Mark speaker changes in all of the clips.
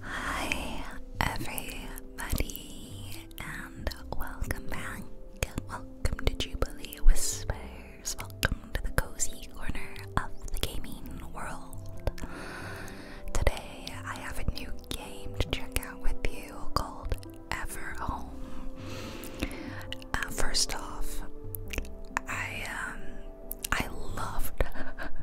Speaker 1: Hi, everybody, and welcome back. Welcome to Jubilee Whispers. Welcome to the cozy corner of the gaming world. Today, I have a new game to check out with you called Ever Home. Uh, first off, I um, I loved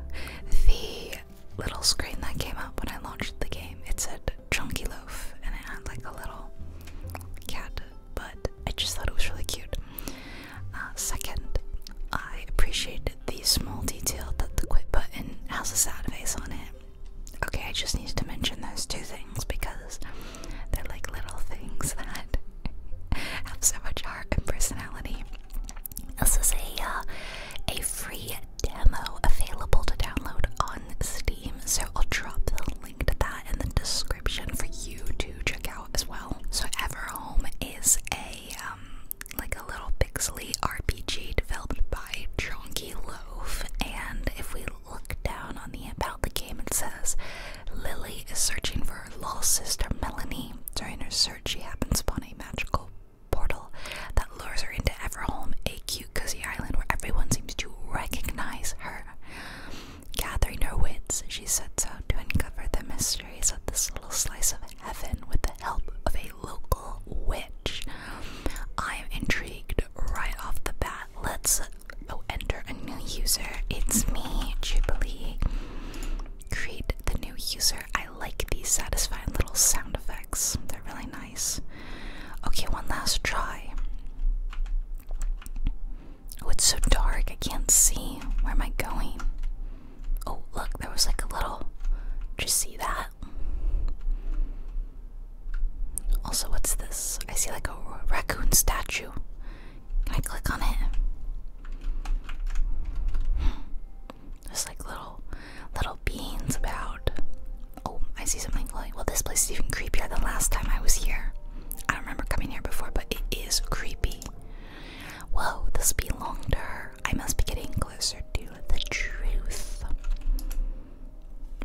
Speaker 1: the little screen that came up when I launched the game. It said Chunky Loaf and it had like a little cat, but I just thought it was really cute. Uh, second, I appreciated the small detail that the quit button has a sad face on it. Okay, I just need to mention those two things because they're like little things that have so much heart and personality. This is a uh, a free demo available to download on Steam, so I'll drop the link to that in the description for you to check out as well. So Everhome is a um, like a little pixely RPG developed by Chonky Loaf, and if we look down on the about the game, it says Lily is searching for her lost sister Melanie. During her search, she happens upon a magical portal that lures her into Everholm, a cute, cozy island where everyone seems to recognize her. Gathering her wits, she sets out to uncover the mysteries of this little slice of heaven with the help of a local witch. I am intrigued right off the bat. Let's oh, enter a new user. It's me, Jubilee create the new user. I like these satisfying little sound effects, they're really nice. Okay, one last try. Oh, it's so dark, I can't see. Where am I going? Oh, look, there was like a little. Did you see that? Also, what's this? I see like a raccoon statue. I click on it. There's like little little beans about. Oh, I see something glowing. Well, this place is even creepier than last time I was here. I don't remember coming here before, but it is creepy. Whoa, this belongs to her. I must be getting closer to the truth.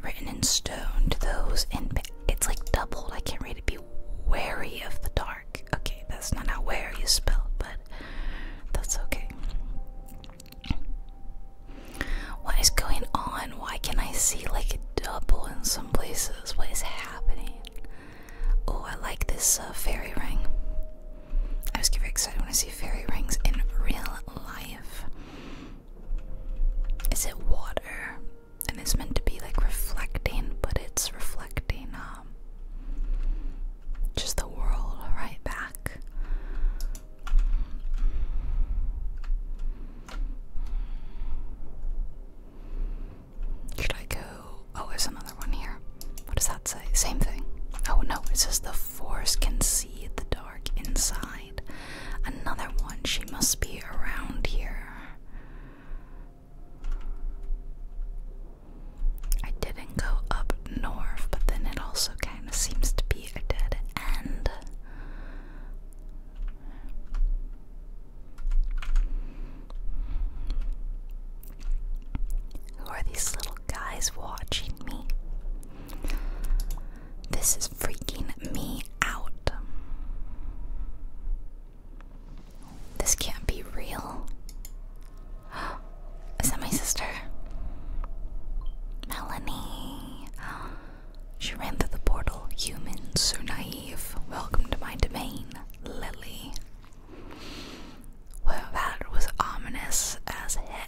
Speaker 1: Written in stone to those in. It's like doubled. I can't read it. Be wary of the dark. Okay, that's not how where you spell, but that's okay. What is going on? Why can I see like a double in some places? What is happening? Oh, I like this uh, fairy ring. I was getting excited when I see fairy rings in real life. Is it water? and it's meant to be like reflecting, but it's reflecting um, just the world right back. Should I go? Oh, there's another one here. What does that say? Same thing. Oh no, it says the force can see the dark inside. Another one. She must be around here. I didn't go up north, but then it also kind of seems to be a dead end. Who are these little guys watching me? This is freaking me out. This can't be real. Is that my sister? Melanie. She ran through the portal. Humans are naive. Welcome to my domain, Lily. Well, that was ominous as heck.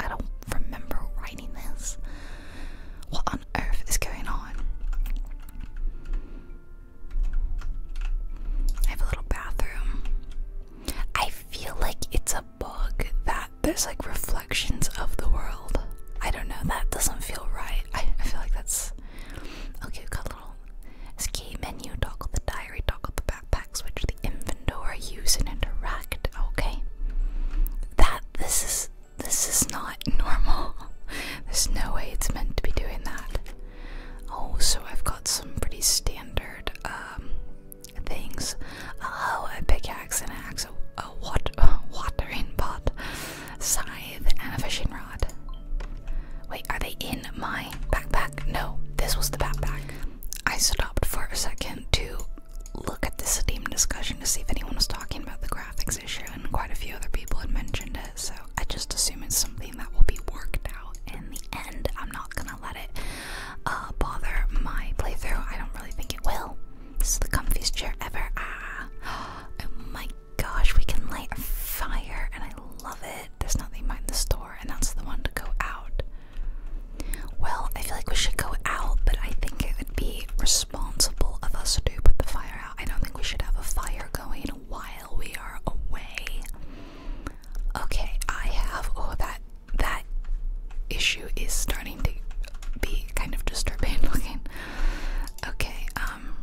Speaker 1: I don't remember writing this. What on earth is going on? I have a little bathroom. I feel like it's a bug that there's like reflections of the world. I don't know, that doesn't feel right. I, feel like that's. Okay, we've got a little ski menu, toggle the diary, toggle the backpack, switch the inventory, use and interact. Okay. That this is this is not normal. There's no way it's meant to be doing that. Oh, so I've got some pretty standard um things. Oh, a pickaxe and an axe, a, a wat a watering pot, scythe, and a fishing rod. Wait, are they in my backpack? No, this was the backpack. I stopped for a second to look at this Steam discussion to see if anyone was talking about the graphics issue, and quite a few other people had mentioned it, so I just assume it's something that will be worked out in the end. I'm not gonna let it uh, bother my playthrough. I don't really think it will. This is the comfiest chair ever. Ah. Oh my gosh, we can light a fire, and I love it. There's nothing behind the store, and that's the one to go out. Well, I feel like we should go out, but I think it would be responsible of us to put the fire out. I don't think we should have a fire going while we are away. Okay, I have oh that that issue is starting to be kind of disturbing looking. Okay, um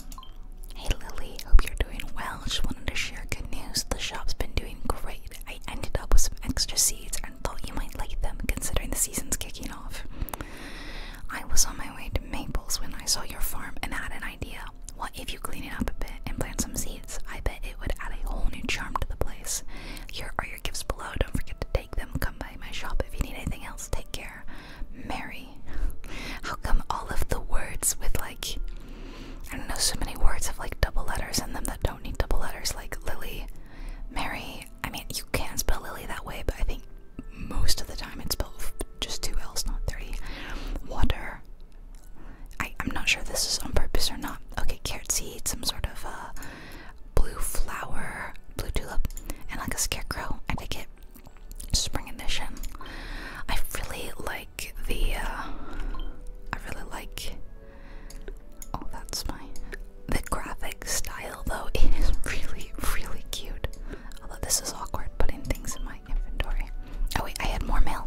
Speaker 1: Hey Lily, hope you're doing well. Just wanted to share good news. The shop's been doing great. I ended up with some extra seeds, I thought you might like them considering the season's kicking off. I was on my way to Maples when I saw your farm and had an idea. Well, if you clean it up a bit and plant some seeds? I bet it would add a whole new charm to the place. Here are your gifts below. Don't forget to take them. Come by my shop if you need anything else. Take care. Mary. How come all of the words with like I don't know so many words have like double letters in them that don't need double letters like Lily, Mary, I mean, you can spell Lily that way, but I think most of the time it's spelled just two L's, not three. Water. I, am not sure if this is on purpose or not. Okay, carrot seed, some sort of uh, blue flower, blue tulip, and like a scarecrow. I dig it. Spring edition. I really like the. Uh, I really like Oh, that's my. The graphic style, though, it is really, really cute. Although this is awkward putting things in my inventory. Oh, wait, I had more mail.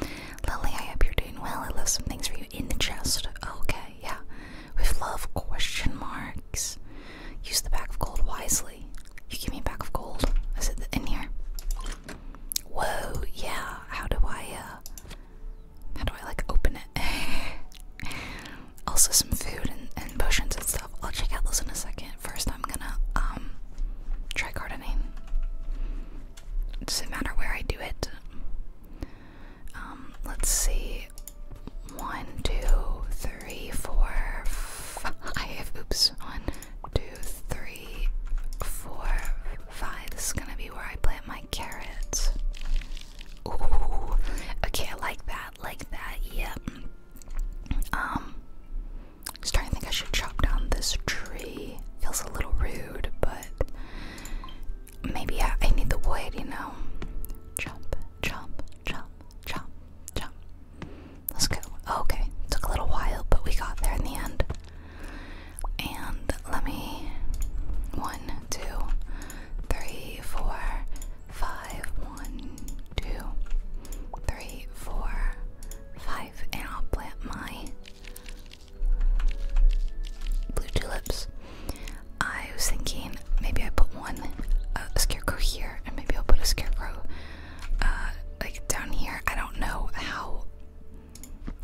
Speaker 1: Lily, I hope you're doing well. I left some things for you in the chest. Okay, yeah. With love, question marks. Use the bag of gold wisely. You give me a bag of gold. Is it in here? Whoa, yeah. How do I, uh how do I like open it? also some food and, potions and stuff. I'll check out those in a second. First I'm gonna um try gardening. doesn't matter where I do it. Um, let's see. One, two, three, four, five. Oops. One, two, three, four, five. This is gonna be where I plant my carrots. Ooh. Okay, I like that. Like that. Yeah. Um. Starting to think I should chop down this tree. Feels a little rude, but maybe I, I need the wood. You know. Chop. Chop. Chop. Chop. Chop. Let's go. Oh, okay. Took a little while, but we got there in the end. And let me. One, two three, four, five, one, two, three, four, five, and I'll plant my blue tulips. I was thinking maybe I put one uh, scarecrow here, and maybe I'll put a scarecrow uh, like down here. I don't know how.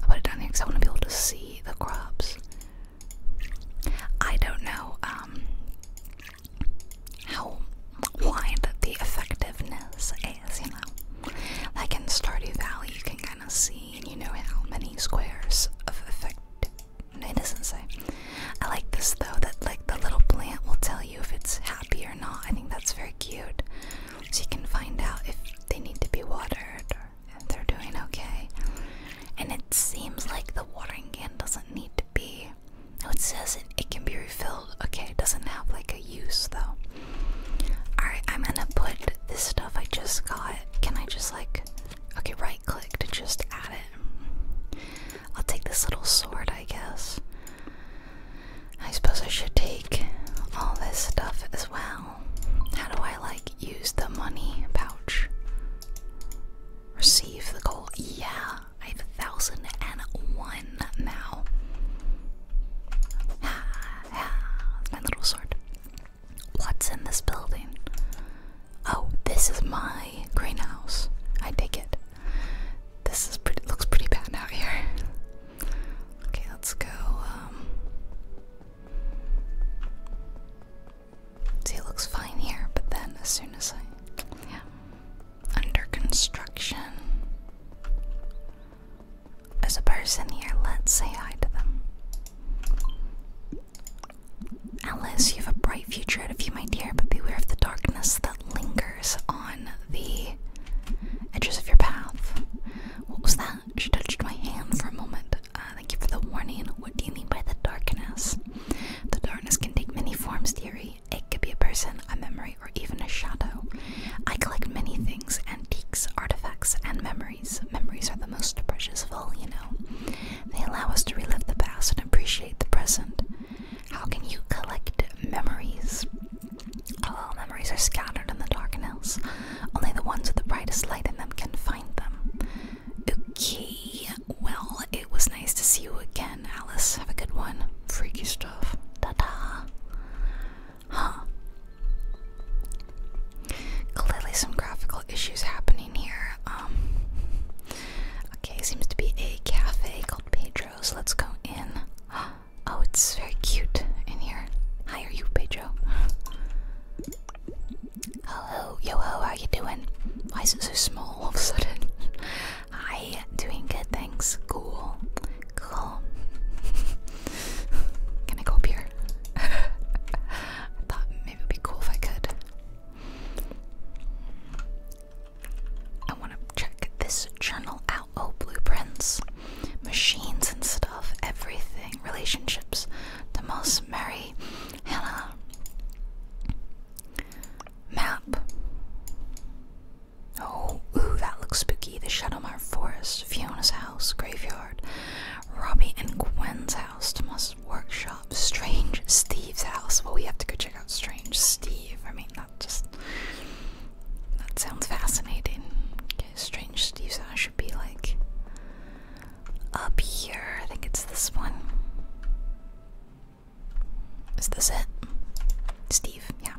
Speaker 1: I'll put it down here because I want to be able to see the crops. I don't know um, how wide the effectiveness is, you know. Like in Stardew Valley, you can kind of see and you know how many squares of effect. It doesn't say. I like this though, that like the little plant will tell you if it's happy or not. I think that's very cute. So you can find out if they need to be watered if they're doing okay. And it seems like the watering can doesn't need to be. Oh, it says it can be refilled. Okay, it doesn't have like a use though. Alright, I'm gonna put this stuff I just got. Can I just like. Okay, right click to just add it. I'll take this little sword, I guess. I suppose I should take all this stuff as well. How do I like use the money pouch? Receive the gold. Yeah, I have a thousand and one now. my little sword. What's in this building? Oh, this is my greenhouse. I take it. This is pretty looks pretty bad out here. Okay, let's go. Um, See, it looks fine here, but then as soon as I. Yeah. Under construction. As a person here. Let's say hi to them. Alice, you have a bright future ahead of you, my dear, but beware of the darkness that lingers on the edges of your path. What was that? She touched my hand for a moment. Uh, thank you for the warning. What do you mean by the darkness? The darkness can take many forms, dearie. It could be a person, a memory, or even a shadow. I collect many things antiques, artifacts, and memories. Memories are the most precious of all, you know. They allow us to relive the past and appreciate the present. How can you collect memories? All memories are scattered in the darkness. Only the ones with the brightest light in them can find them. Okay, well, it was nice to see you again, Alice. Have a good one. Freaky stuff. Ta da! Huh. Clearly, some graphical issues happening here. Um. Okay, seems to be a cafe called Pedro's. Let's go in. Oh, it's very cute in here. Hi, are you Pedro? Hello, yo ho, how you doing? Why is it so small all of a sudden? Hi, doing good, thanks. Cool, cool. Can I go up here? I thought maybe it'd be cool if I could. I want to check this journal out. Oh, blueprints, machines and stuff, everything, relationships. The most merry Hannah. Map. Oh, ooh, that looks spooky. The Shadowmar Forest, Fiona's house, graveyard, Robbie and Gwen's house, Thomas' workshop, Strange Steve's house. Well, we have to go check out Strange Steve. I mean, that just that sounds fascinating. Strange Steve's house should be like up here. I think it's this one. Is this it? Steve, yeah.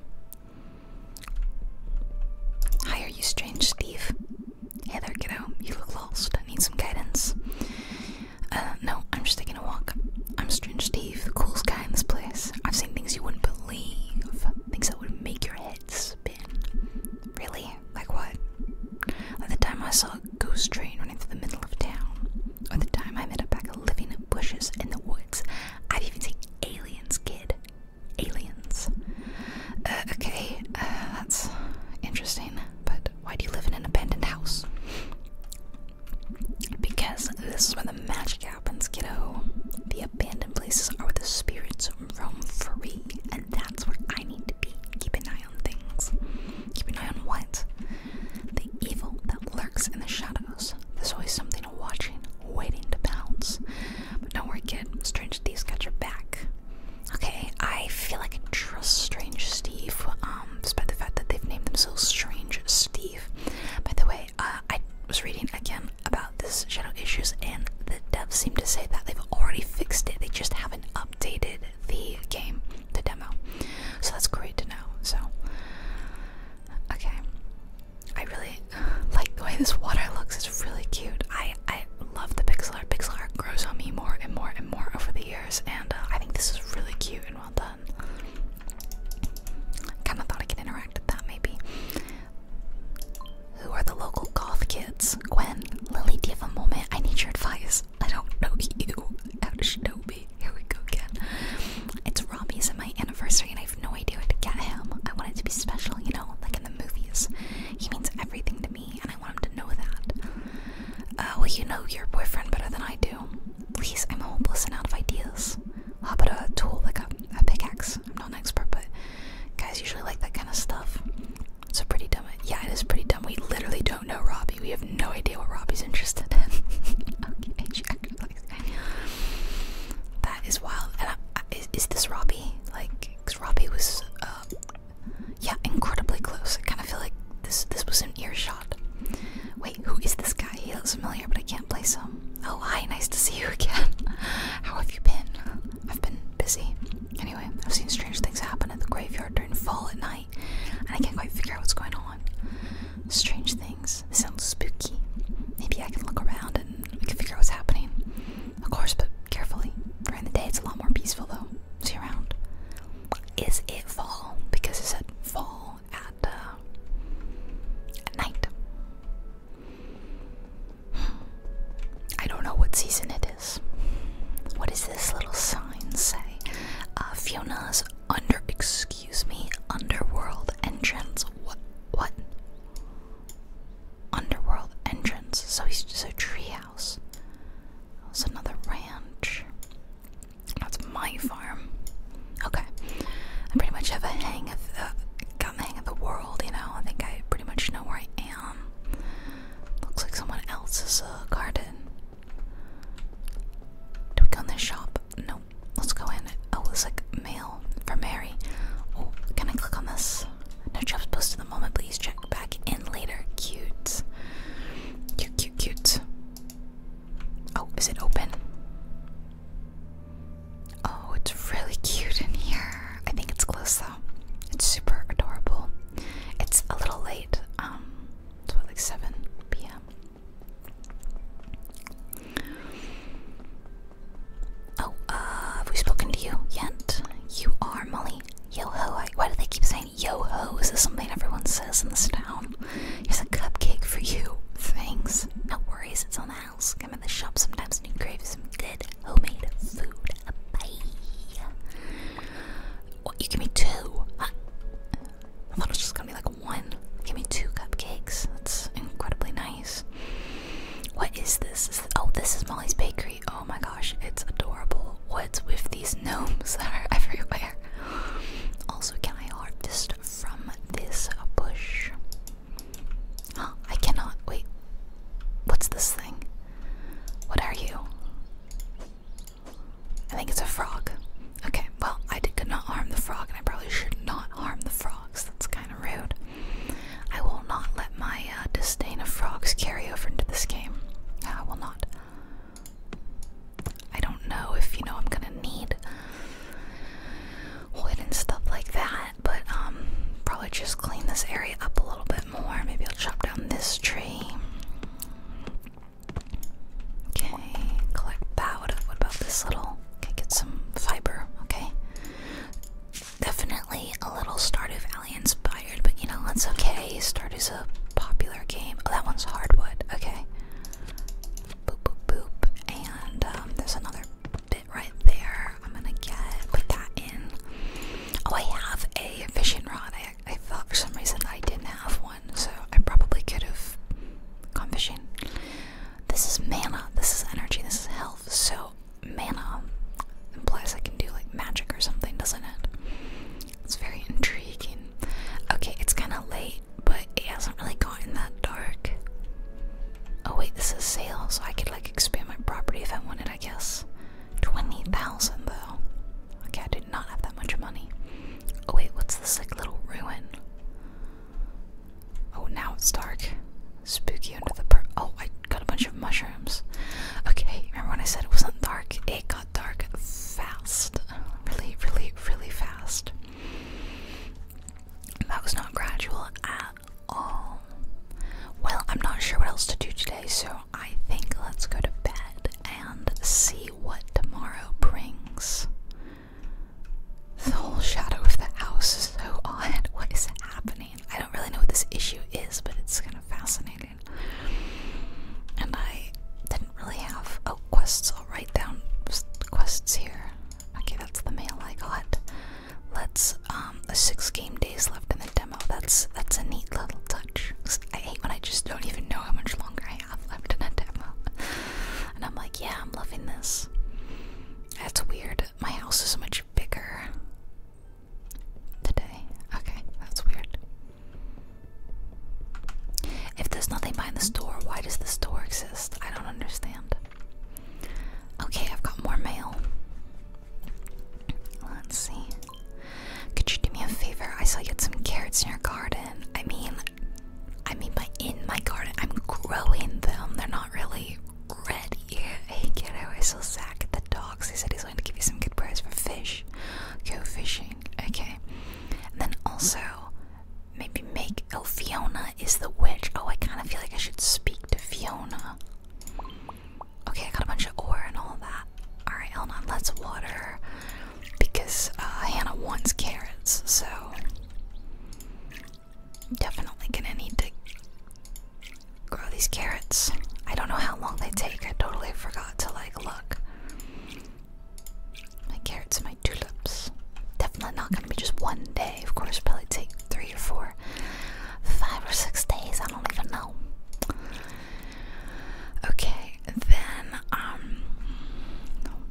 Speaker 1: Hi, are you strange, Steve? Hey there, kiddo. You look lost. I need some guidance. Uh, no, I'm just taking a walk. I'm Strange Steve, the coolest guy in this place. I've seen things you wouldn't believe, things that would make your head spin. Really? like what? Like the time I saw a ghost train running through the middle of town, or the time I met a pack of living bushes in the woods. i would even say aliens, kid. Aliens. Uh, okay, uh, that's interesting, but why do you live in an abandoned house? Because this is where the magic happens, kiddo. The abandoned places are where the spirits roam free, and that's where I need to be. Keep an eye on things. Keep an eye on what? The evil that lurks in the shadows. There's always something watching, waiting to pounce. But don't worry, kid. Strange Steve's got your back. Okay, I feel like I trust Strange Steve, um, despite the fact that they've named themselves Strange Steve. By the way, uh, I was reading again about this shadow issues, and the devs seem to say that they've already fixed it. They just haven't updated updated the game, the demo. So that's great to know. So, okay. I really like the way this water looks. It's really cute. I I love the pixel art. Pixel art grows on me more and more and more over the years, and uh, I think this is really cute and well done. Kind of thought I could interact with that maybe. Who are the local goth kids? Gwen, Lily, do you have a moment? I need your advice. I don't know you. How do she know me? Here we go again. It's Robbie's and my anniversary, and I have no idea what to get him. I want it to be special, you know, like in the movies. He means everything to me, and I want him to know that. Uh, well, you know your boyfriend better than I do. Please, I'm hopeless and out of ideas. How about a tool like a pickaxe? I'm not an expert, but guys usually like that kind of stuff. It's a pretty dumb. Yeah, it is pretty dumb. We literally don't know Robbie. We have no idea what Robbie's interested in. That is wild. And is, is this Robbie? Like, Robbie was, uh, yeah, incredibly close. I kind of feel like this this was an earshot. Wait, who is this guy? He looks familiar, but I can't place him. Oh, hi. Nice to see you again. How have you been? I've been busy. Anyway, I've seen strange things happen in the graveyard during fall at night, and I can't quite figure out what's going on. Strange things. sounds spooky. Maybe I can look around and we can figure out what's happening. Of course, but carefully. During the day, it's a lot more peaceful though. See around. Is it fall? Because it said fall at, uh, at night. Hmm. I don't know what season it is. What does this little sign say? Uh, Fiona's under, excuse me, underworld entrance. What? What? Underworld entrance. So he's just a treehouse. It's another ranch. That's my farm. Okay. I pretty much have a hang of the, got the hang of the world, you know. I think I pretty much know where I am. Looks like someone else's uh, garden. Do we go in this shop? Nope. Let's go in. Oh, it's like mail for Mary. Oh, can I click on this? No jobs posted at the moment. Please check back in later. Cute, cute, cute. Oh, is it open? Oh, it's really cute in here. I think it's close though. It's super adorable. It's a little late. Um, it's about like 7 p.m. Oh, uh, have we spoken to you yet? You are Molly. Yo ho. I, why do they keep saying yo ho? Is this something everyone says in this town? Here's a cupcake for you. Thanks. No worries, it's on the house. Come in the shop sometimes and you crave some good homemade food. Bye. What, you give me two? I, thought it was just gonna be like one. Give me two cupcakes. That's incredibly nice. What is this? oh, this is Molly's Bakery. Oh my gosh, it's adorable. What's with these gnomes that are everywhere? Also, can I harvest from this bush? I cannot. Wait. What's this thing? What are you? I think it's a frog. Okay, well, I did, could not harm the frog, and I probably should not harm the frogs. That's kind of rude. I will not let my uh, disdain of frogs carry over into this game. I will not. I don't know if you know I'm gonna need wood and stuff like that, but um, probably just clean this area up a little bit more. Maybe I'll chop down this tree. Okay, collect that. What about this little? Okay, get some fiber. Okay. Definitely a little Stardew Valley inspired, but you know, that's okay. Stardew's a popular game. Oh, that one's hardwood. Okay. Boop, boop, boop. And um, there's another bit right there. I'm gonna get, put that in. Oh, I have a fishing rod. I, I thought for some reason that I didn't have one, so I probably could have gone fishing. This is mana. This is energy. This is health. So mana implies I can do like magic or something, doesn't it? It's very intriguing. Okay, it's kind of late, but it hasn't really gotten that dark. Oh wait, this is sale, so I could like expand my property if I wanted, I guess. 20,000 though. Okay, I did not have that much money. Oh wait, what's this like little ruin? Oh, now it's dark. Spooky under the per- Oh, I got a bunch of mushrooms. Okay, remember when I said it wasn't dark? It got dark fast. Really, really, really fast. That was not gradual at all. Well, I'm not sure what else to do today, so I think let's go to bed and see what tomorrow brings. The whole shadow of the house is so odd. What is happening? I don't really know what this issue is, but it's kind of fascinating. And I didn't really have. Oh, quests. I'll write down quests here. Okay, that's the mail I got. Let's, um, um, six game days left in the demo. That's that's a neat little touch. I hate when I just don't even know how much longer I have left in a demo, and I'm like, yeah, I'm loving this. That's weird. My house is much bigger today. Okay, that's weird. If there's nothing behind the store, why does the store exist? I don't understand. Okay, I've got more mail. Let's see. Could you do me a favor? I saw you had some carrots in your garden. I mean, I mean, by in my garden, I'm growing them. They're not really ready. Hey, kiddo, I saw Zach at the docks. He said he's going to give you some good prize for fish. Go fishing. Okay. And then also, maybe make. Oh, Fiona is the witch. Oh, I kind of feel like I should speak to Fiona. Okay, I got a bunch of ore and all that. Alright, Elnon, let's water. Because uh, Hannah wants carrots, so. Definitely gonna need to grow these carrots. I don't know how long they take, I totally forgot to like look. My carrots and my tulips. Definitely not gonna be just one day, of course, probably take three or four, five or six days, I don't even know. Okay, then um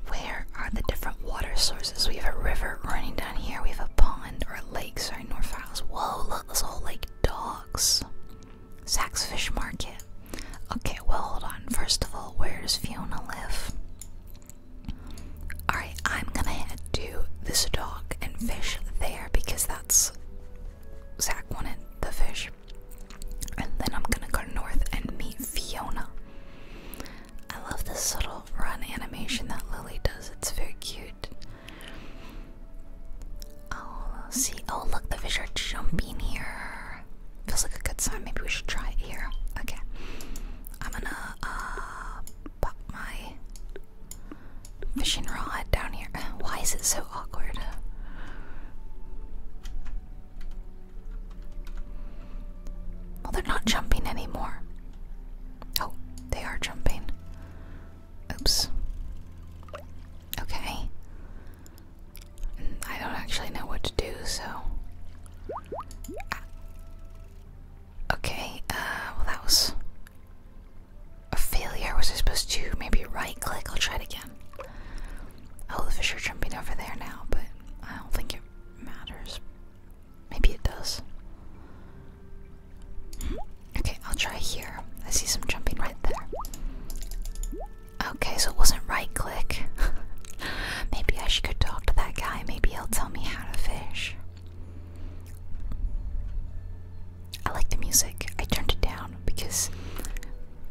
Speaker 1: where are the different water sources? We have a river running down here, we have a pond or a lake, sorry, North Isles. Whoa, look, this whole lake dogs. Saks Fish Market. Okay, well hold on. First of all, where does Fiona live? Alright, I'm gonna head to this dock and fish there because that's Zach wanted the fish. And then I'm gonna go north and meet Fiona. I love this little run animation that Lily does, it's very cute. Oh, see, oh look, the fish are jumping here. Feels like a good sign, maybe we should try it here. Okay, I'm gonna uh, pop my fishing rod down here. Why is it so awkward? Well, they're not jumping anymore. Oh, they are jumping. Oops. Okay. Mm, I don't actually know what to do, so. Ah. Okay, uh, well, that was a failure. Was I supposed to maybe right click? I'll try it again. Oh, the fish are jumping over there now, but I don't think it matters. Maybe it does. Okay, I'll try here. I see some jumping right there. Okay, so it wasn't right click. maybe I should go talk to that guy. Maybe he'll tell me how to fish. I like the music. I turned it down because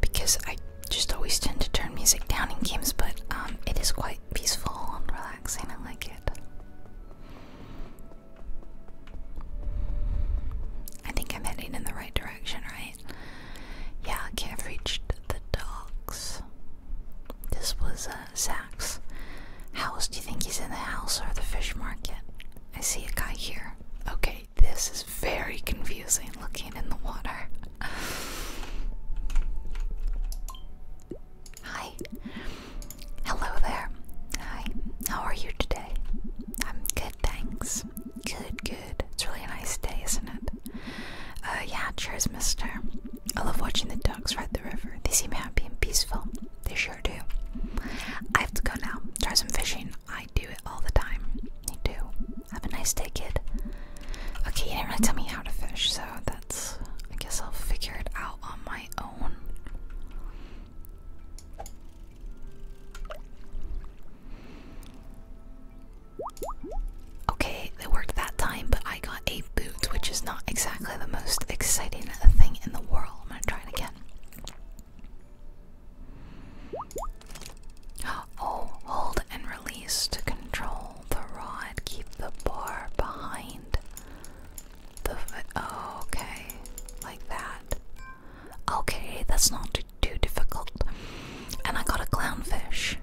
Speaker 1: because I just always tend to turn music down in games, but um, it is quite peaceful and relaxing. I like it. I think I'm heading in the right direction, right? Yeah, okay, I've reached the docks. This was uh, Sachs. House, do you think he's in the house or the fish market? I see a guy here. Okay, this is very confusing looking in the water. Hi. Hello there. Hi. How are you today? I'm good, thanks. Good, good. It's really a nice day, isn't it? Uh, yeah, cheers, mister. I love watching the ducks ride the river. They seem happy and peaceful. They sure do. I have to go now. Try some fishing. I do it all the time. You do. Have a nice day, kid. Okay, you didn't really tell me how to fish, so that's. I guess I'll figure it out on my own. Okay, they worked that time, but I got a boot, which is not exactly the most exciting thing in the world. I'm gonna try it again. Oh, hold and release to control the rod. Keep the bar behind the oh, okay, like that. Okay, that's not too, difficult. And I got a clownfish,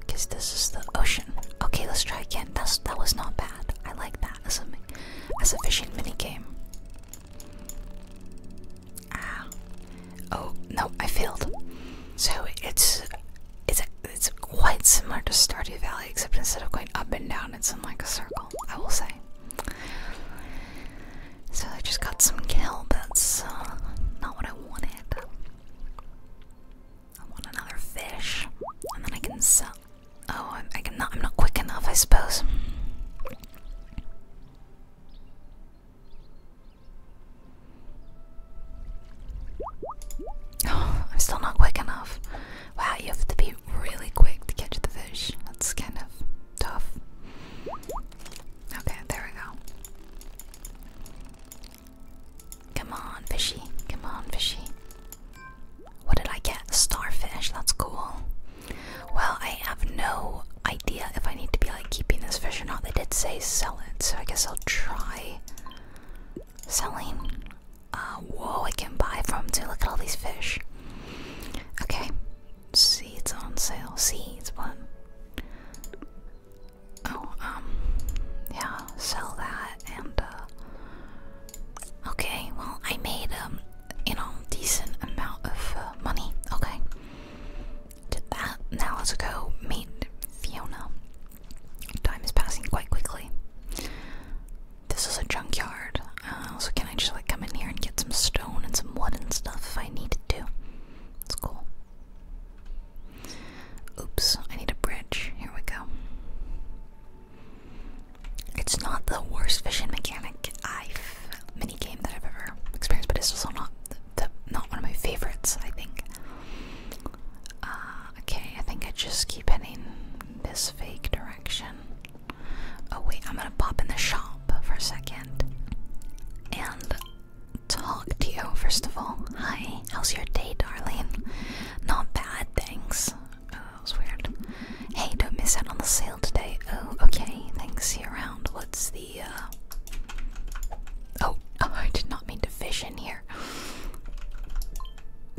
Speaker 1: because this is the ocean. Okay, let's try again. That's, that was not bad. I like that as a, as a fishing minigame. Ah. Oh no, I failed. So it's it's it's quite similar to Stardew Valley, except instead of going up and down, it's in like a circle. I will say. So I just got some kill. That's uh, not what I wanted. I want another fish, and then I can sell. Oh, I'm, I I'm not quick enough, I suppose. I'm still not quick enough. Wow, you have to be really quick to catch the fish. That's kind of tough. Okay, there we go. Come on, fishy. Come on, fishy. What did I get? Starfish. That's cool. Well, I have no idea if I need to be like keeping this fish or not. They did say sell it, so I guess I'll try selling. Uh, whoa, I can buy from too. Look at all these fish. Okay. Seeds on sale. Seeds, what? Oh, um, yeah, sell that and, uh, Okay, well, I made um, you know, decent amount of uh, money. Okay, did that. Now let's go meet Fiona. Time is passing quite quickly. This is a junkyard, uh, so can I just like come in here and get some stone and some wood and stuff if I need to? That's cool. Oops, I need a bridge. Here we go. It's not the worst fishing mechanic I've mini game that I've ever experienced, but it's also not the, not one of my favorites. I think. Uh, okay, I think I just keep heading this fake direction. Oh wait, I'm gonna pop in the shop for a second and talk to you first of all. Hi, how's your day, darling? Not bad, thanks. Oh, that weird. Hey, don't miss out on the sale today. Oh, okay. Thanks. See you around. What's the, uh, Oh, oh I did not mean to fish in here.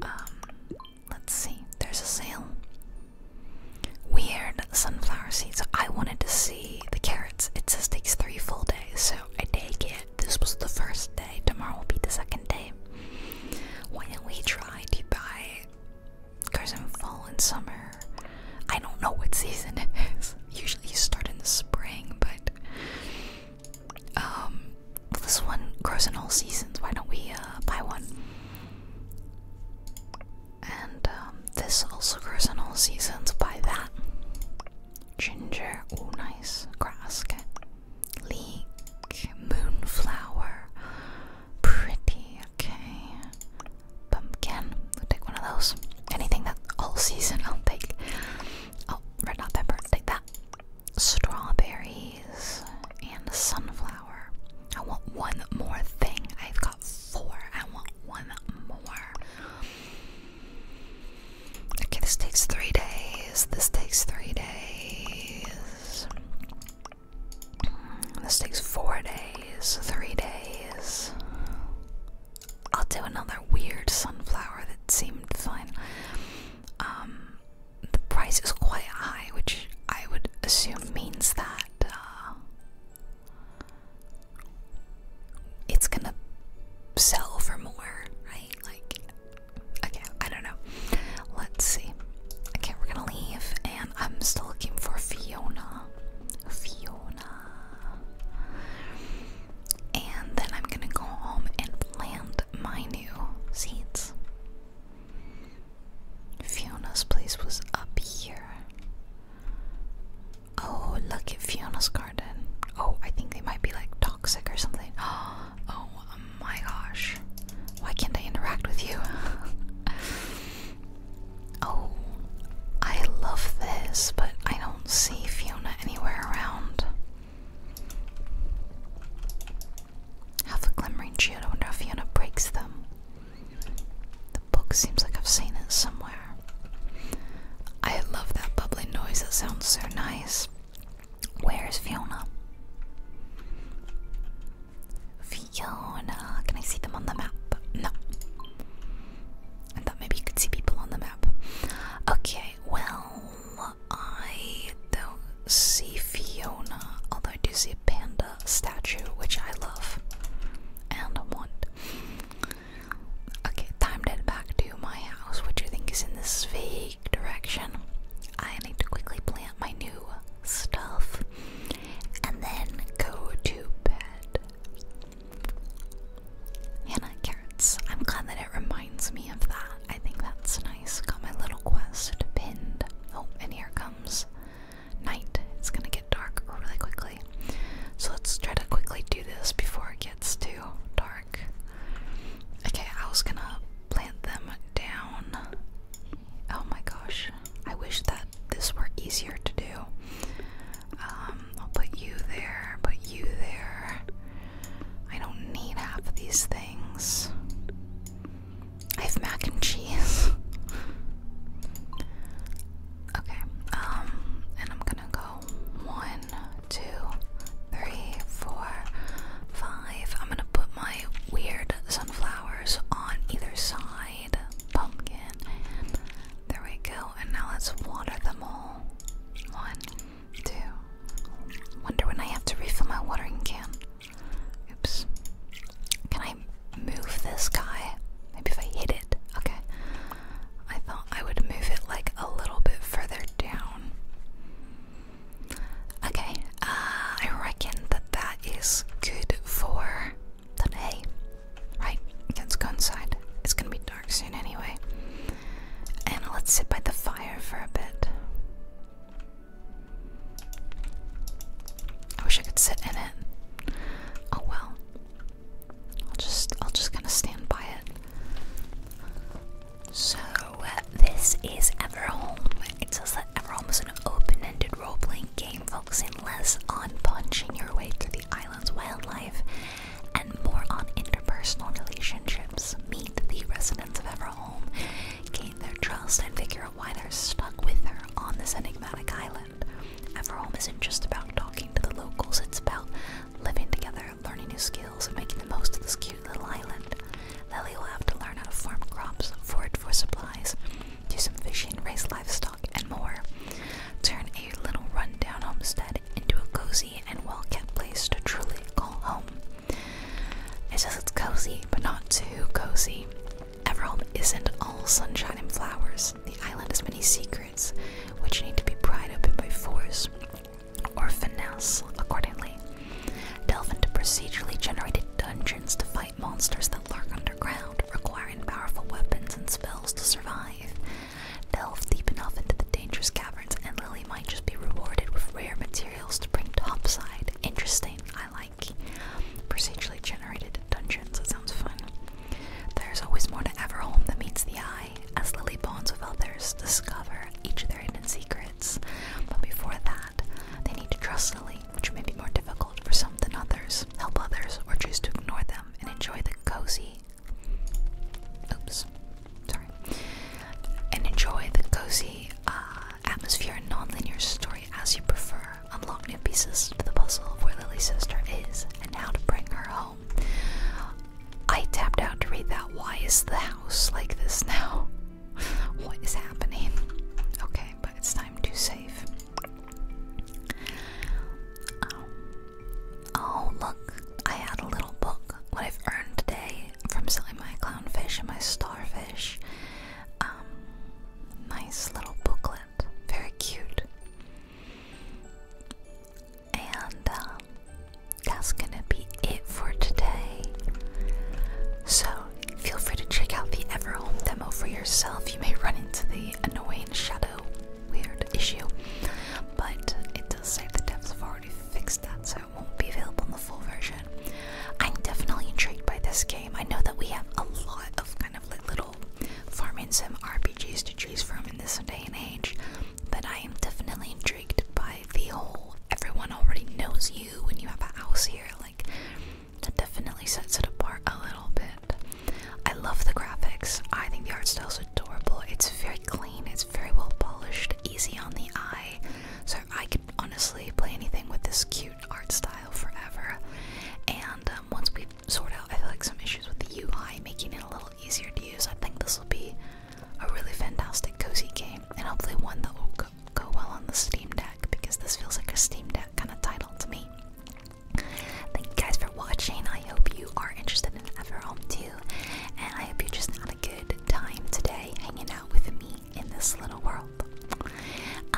Speaker 1: Um, let's see. There's a sale. Weird sunflower seeds. I wanted to see the carrots. It says takes three full days, so I take it. This was the first day. Tomorrow will be the second day. Why don't we try to buy goes in fall and summer. I don't know what season it is. Usually you start in the spring, but um, this one grows in all seasons. Why don't we uh, buy one? And um, this also grows in all seasons. Buy that. Ginger, oh nice. Grass, leek, moonflower pretty. Okay. Pumpkin. we take one of those. Anything that all season I'll take. Oh, red hot pepper. Take that. Strawberries and sunflower. I want one more thing. I've got four. I want one more. Okay, this takes three days. This takes three days. This takes four days, three days. I'll do another weird sunflower that seemed fine. Um, the price is quite high, which I would assume means that uh, it's gonna sell for more, right? Like, okay, I don't know. Let's see. Okay, we're gonna leave and I'm still looking for Fiona. Fiona. And then I'm gonna go home and plant my new seeds. Fiona's place was up here. Oh, look at Fiona's garden. Oh, I think they might be like toxic or something. Oh, oh my gosh. Why can't I interact with you? Oh, I love this, but I don't see Fiona anywhere around. Half a glimmering shield, I wonder if Fiona breaks them. The book seems like I've seen it somewhere. I love that bubbling noise, That sounds so nice. Where is Fiona? Fiona, can I see them on the map? No. I thought maybe you could see people on the map. Okay, well, I don't see Fiona, although I do see a panda statue, which I love and want. Okay, time to head back to my house, which I think is in this vague direction. I need to quickly plan my new stuff and then go to bed. Hannah Carrots. I'm glad that it reminds me of that. I think that's nice. Got my little quest pinned. Oh, and here comes night. It's gonna get dark really quickly. So let's try to quickly do this before it gets too dark. Okay, I was gonna plant them down Oh my gosh, I wish that this were easier to do. Um, I'll put you there, put you there. I don't need half of these things. I have mac and cheese. okay, um, and I'm gonna go one, two, three, four, five. I'm gonna put my weird sunflowers on either side pumpkin. There we go. And now let's water them all. One, two. Wonder when I have to refill my watering can. Oops. Can I move this guy? Maybe if I hit it. Okay. I thought I would move it like a little bit further down. Okay. Uh, I reckon that that is good for better Right? Let's go inside. It's gonna be dark soon anyway. And let's sit by the fire for a bit. I wish I could sit in it. Oh well. I'll just I'll just kind of stand by it. So uh, this is Everhome. It says that Everhome was an open-ended role-playing game focusing less on punching your way through the island's wildlife and more on interpersonal relationships. Meet the residents of Everhome, gain their trust, and figure out why they're stuck with her on this enigmatic island. Everhome isn't just about talking to the locals, it's about living together, learning new skills, and making the most of this cute little island. Lily will have to learn how to farm crops, forage for supplies, do some fishing, raise livestock, and more. Turn a little rundown homestead into a cozy and well kept place to truly call home. It says it's cozy, but not too cozy. Everholm isn't all sunshine and flowers. The island has many secrets, which need to be pried open by force or finesse accordingly. Delve into procedurally generated dungeons to find monsters that lurk underground, requiring powerful weapons and spells to survive. Delve deep enough into the dangerous caverns, and Lily might just be rewarded with rare materials to bring topside. Interesting, I like. Procedurally generated dungeons, that sounds fun. There's always more to Everhome that meets the eye, as Lily bonds with others, discover each of their hidden secrets. But before that, they need to trust Lily, which may be more difficult for some than others, help others, or choose to ignore them and enjoy the cozy. Oops, sorry. And enjoy the cozy uh, atmosphere and non-linear story as you prefer. Unlock new pieces to the puzzle of where Lily's sister is and how to bring her home. I tapped out to read that. Why is the house like this now? what is happening? Okay, but it's time to save. Um, oh, look, I had a little book. What I've earned today from selling my clownfish and my starfish. Um, nice little booklet. Very cute. And um, that's gonna be it for today. So, Feel free to check out the Everhome demo for yourself. You may run into the annoying shadow weird issue, but it does say the devs have already fixed that, so it won't be available in the full version. I'm definitely intrigued by this game. I know that we have a lot of kind of like little farming sim RPGs to choose from in this day and age, but I am definitely intrigued by the whole everyone already knows you when you have a house here. Like, that definitely sets it apart a little bit. I love the graphics. I think the art style is adorable. It's very clean, it's very well polished, easy on the eye. So I can honestly play anything with this cute art style forever. And um, once we sort out, I feel like some issues with the UI, making it a little easier to use, I think this will be a really fantastic cozy game, and hopefully one that will go go well on the Steam Deck because this feels like a Steam Deck kind of title to me. Thank you guys for watching. I hope you are interested in Everhome too, and I hope you just had a good time today hanging out with me in this little world. Uh,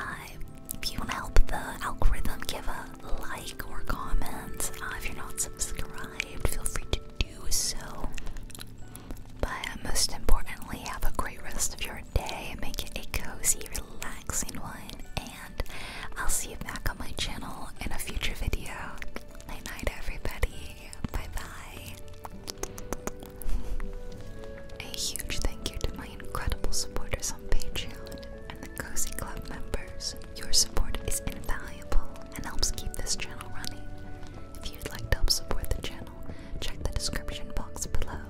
Speaker 1: if you want to help the algorithm, give a like or comment. Uh, if you're not subscribed, feel free to do so. But most importantly, have a great rest of your day your make it a cozy, relaxing one, and I'll see you back on my channel in a future video. Night night, everybody. Bye bye. A huge thank you to my incredible supporters on Patreon and the Cozy Club members. Your support is invaluable and helps keep this channel running. If you'd like to help support the channel, check the description box below.